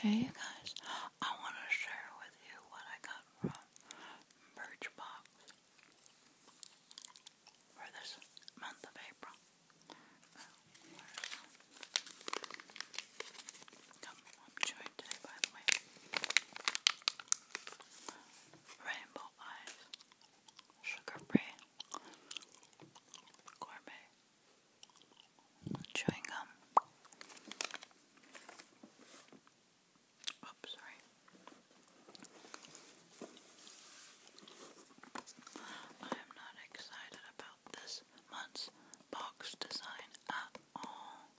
Hey guys, I want to share with you what I got from Birchbox for this month of April. Come, I'm today, by the way. Rainbow Eyes, Sugar Free, Gourmet chewing gum. Oops, sorry. I am not excited about this month's box design at all.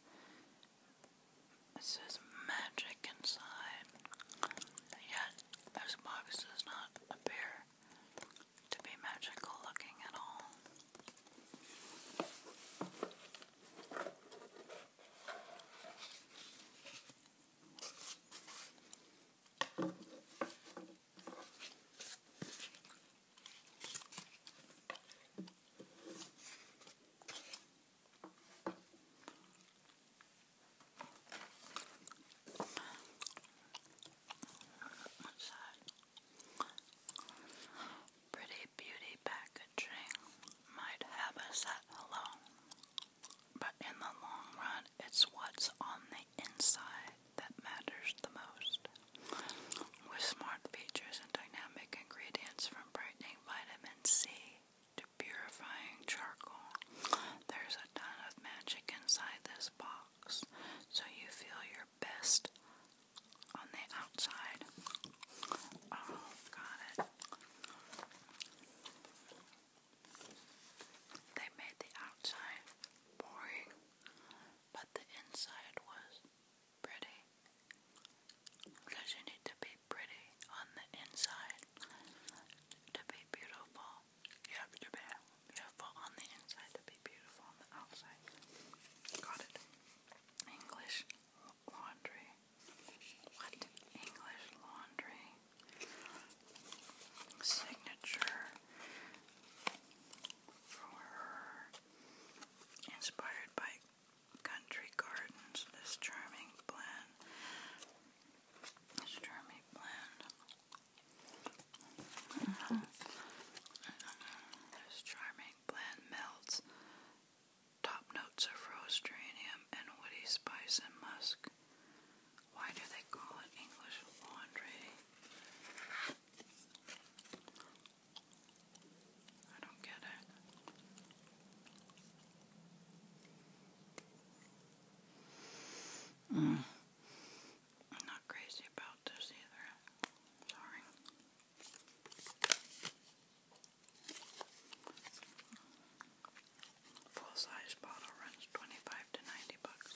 It says magic inside, yet this box does not appear to be magical looking at all. What's that? Pretty beauty packaging might have us at hello, but in the long run, it's what's on the inside that matters the most. With smart features and dynamic ingredients from brightening vitamin C to purifying charcoal, there's a ton of magic inside this box so you feel your best on the outside. Oh, got it. They made the outside boring, but the inside was pretty. Because you need to be pretty on the inside to be beautiful you have Japan. Beautiful on the inside to be beautiful on the outside. Got it. English laundry. What? English laundry. Signature for Inspired by Country Gardens. This charming blend. This charming blend Mm charming bland melts. Top notes are rose geranium and woody spice and musk. Why do they call it English laundry? I don't get it. Mm. I'm not crazy about this either. Sorry. Full size bottle runs 25 to 90 bucks.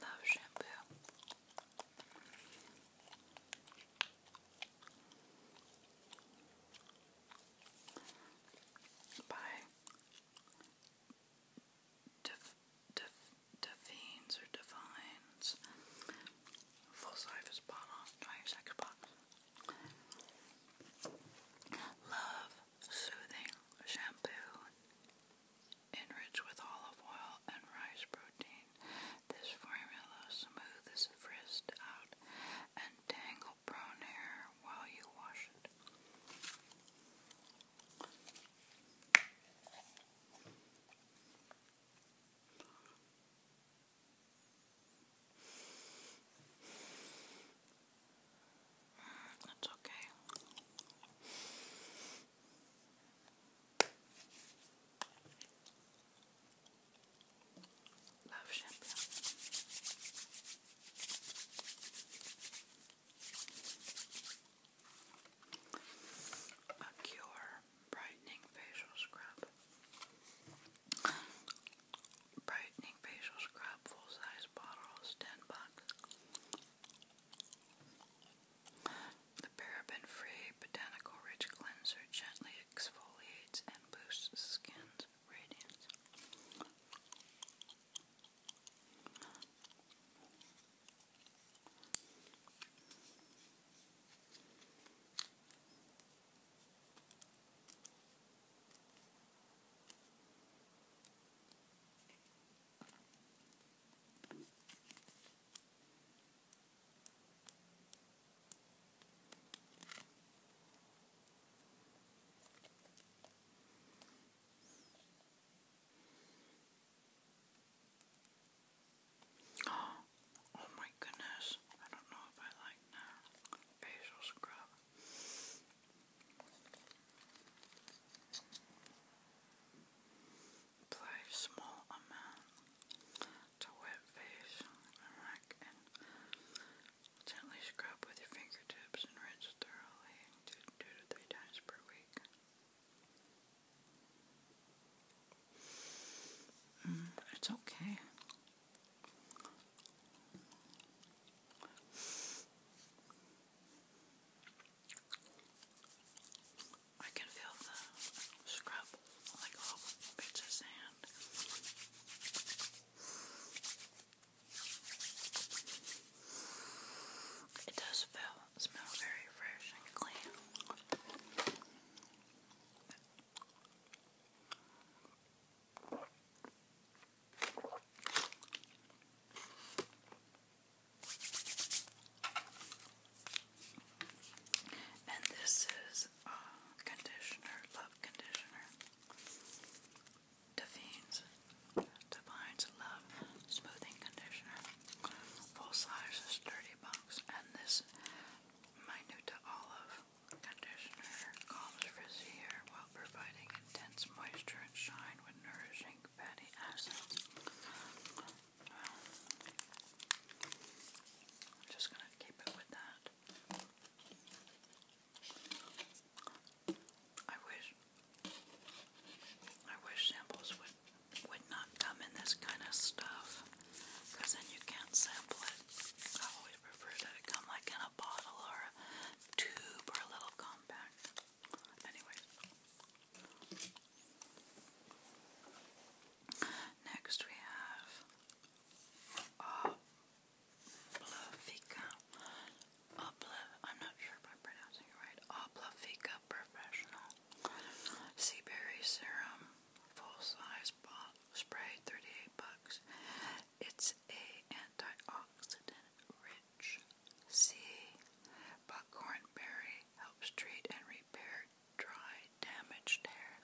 Love shampoo by Def, Def, Defines or Defines. Full size is bought on 22nd box. Love Soothing Shampoo. Enriched with olive oil and rice protein, this formula smooths frizzed out and tangle prone hair while you wash it. Mm, that's okay. Love Champion. A Cure Brightening Facial Scrub. Brightening Facial Scrub, full size bottles, 10 bucks. The paraben free botanical rich cleanser gently exfoliates and boosts skin's ratings. Oh my goodness, I don't know if I like that facial scrub. Apply small amount to wet face and and Gently scrub with your fingertips and rinse thoroughly two, to three times per week. Mm, it's okay. I can feel the scrub like all bits of sand. It does feel, smell very fresh and clean. And this is a uh, conditioner, love conditioner. Defines, Divine's Love Smoothing Conditioner. Full size is 30 bucks. And this Minuta Olive Conditioner calms frizzy hair while providing intense moisture and shine with nourishing fatty acids. I'm just going to keep it with that. I wish I wish samples would would not come in this kind of stuff because then you can't sample it. I always prefer that it come like in a bottle or tube or a little compact. Anyways. Next we have uh, Oblavica, I'm not sure if I'm pronouncing it right, Oblavica Professional, Seaberry Serum, full size bottle, spray, 38 bucks. It's a antioxidant rich sea. Buckhorn berry helps treat and repair dry Damaged hair.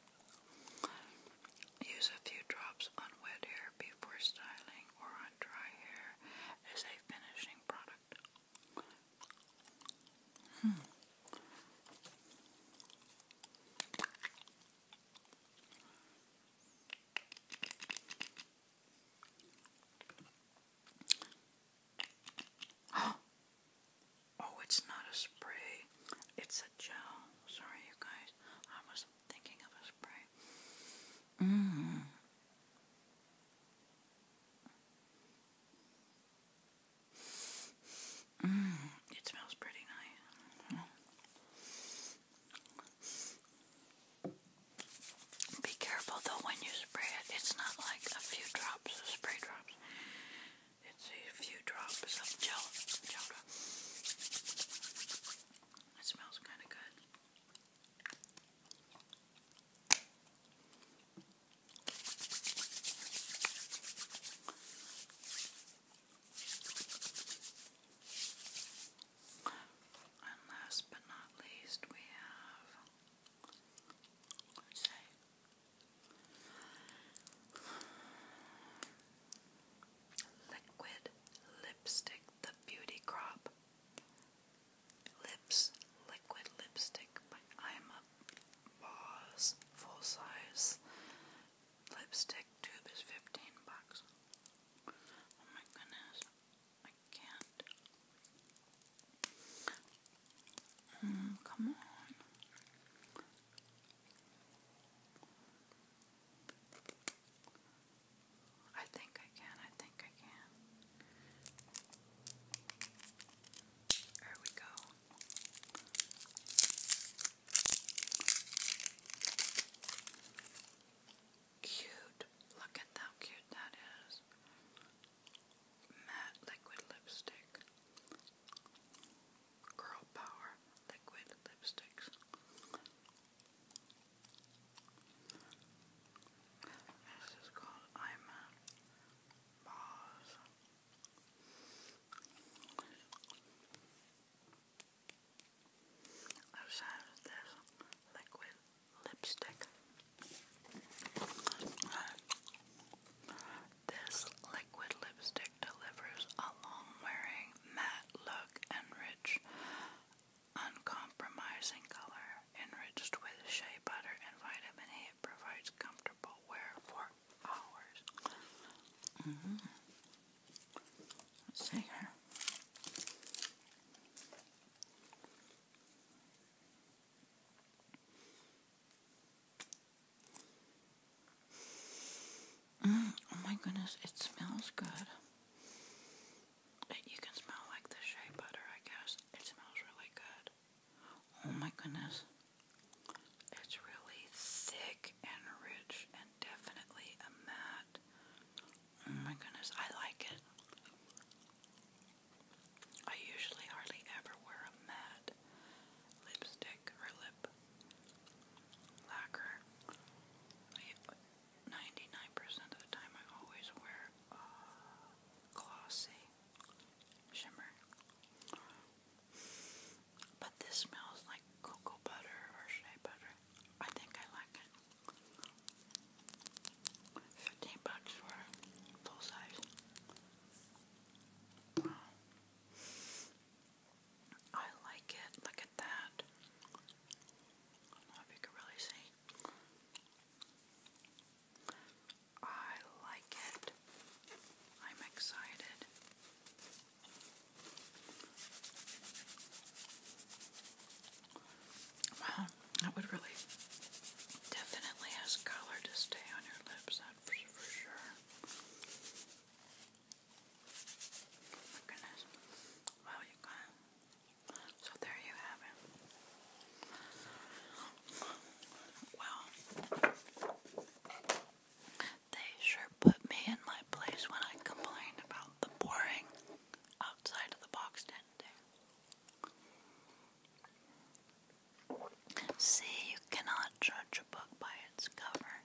Use a few drops on wet hair before styling or on dry hair as a finishing product. Hmm. Oh, it's not a spray. It's a gel. Sorry, you guys. I was thinking of a spray. Mm. Mm. It smells pretty nice. Be careful though when you spray it. It's not like a few drops of spray drops. It's a few drops of gel It smells kind of good. And last but not least, we have, Liquid lipstick, the beauty crop. Lips, liquid lipstick. I'm boss, full size lipstick tube is 15 bucks. Oh my goodness, I can't. Mm, come on. I think I can, I think I can. There we go. Cute. Look at how cute that is. Matte liquid lipstick. Girl Power Liquid Lipsticks. This is called I'm Boss. this liquid lipstick. This liquid lipstick delivers a long-wearing, matte look and rich, uncompromising color. Enriched with shea butter and vitamin E, it provides comfortable wear for hours. Mm-hmm. Let's see here. Mm, oh my goodness, it smells good. You can smell like the shea butter, I guess. It smells really good. Oh my goodness. It's really thick and rich and definitely a matte. Oh my goodness, I like it. I usually hardly ever wear a matte lipstick lipstick or lip lacquer. Ninety-nine percent of the time, I always wear uh, glossy shimmer, but this smells like cocoa butter or shea butter. I think I like it. Fifteen bucks for full size. I like it. Look at that. I don't know if you can really see. I like it. I'm excited. Wow, that would really definitely has color to stay on your lips, for sure my oh, goodness. Wow, you guys. So there you have it. Well, they sure put me in my place when I complained about the boring outside of the box tent. See, you cannot judge a book by its cover.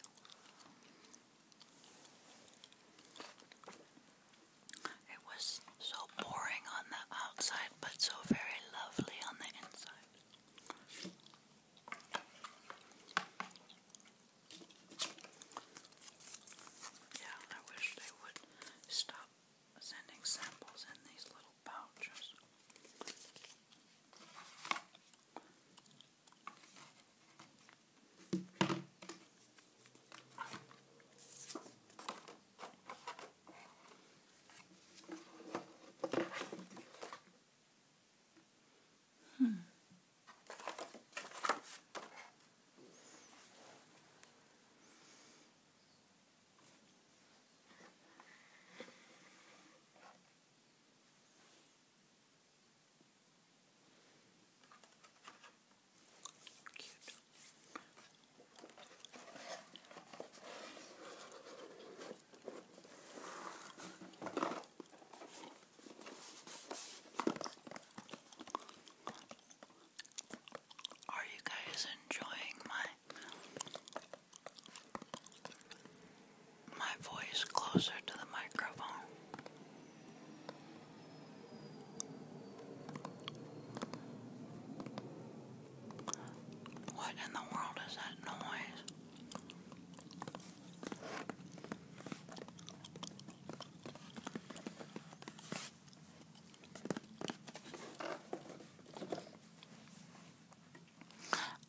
It was so boring on the outside, but so very lovely on the inside. Yeah, I wish they would stop sending samples in these little little pouches. Hmm. Are you guys enjoying my my voice closer to the microphone. What in the world is that noise?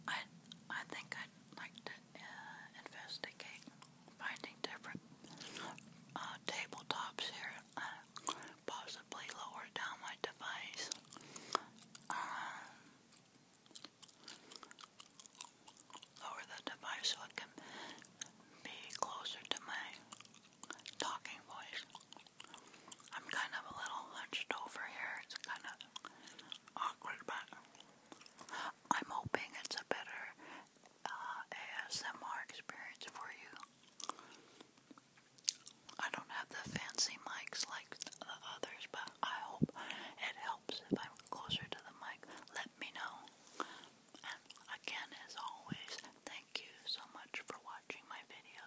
I I think I'd like to uh, investigate finding different uh, tabletops here, uh, possibly lower down my device. Um, lower the device so it can be closer to my talking voice. I'm kind of a little hunched over here. It's kind of awkward, but I'm hoping it's a better uh, ASMR experience for you. I don't have the fancy mics like the others, but I hope it helps if I'm closer to the mic. Let me know. And again, as always, thank you so much for watching my video.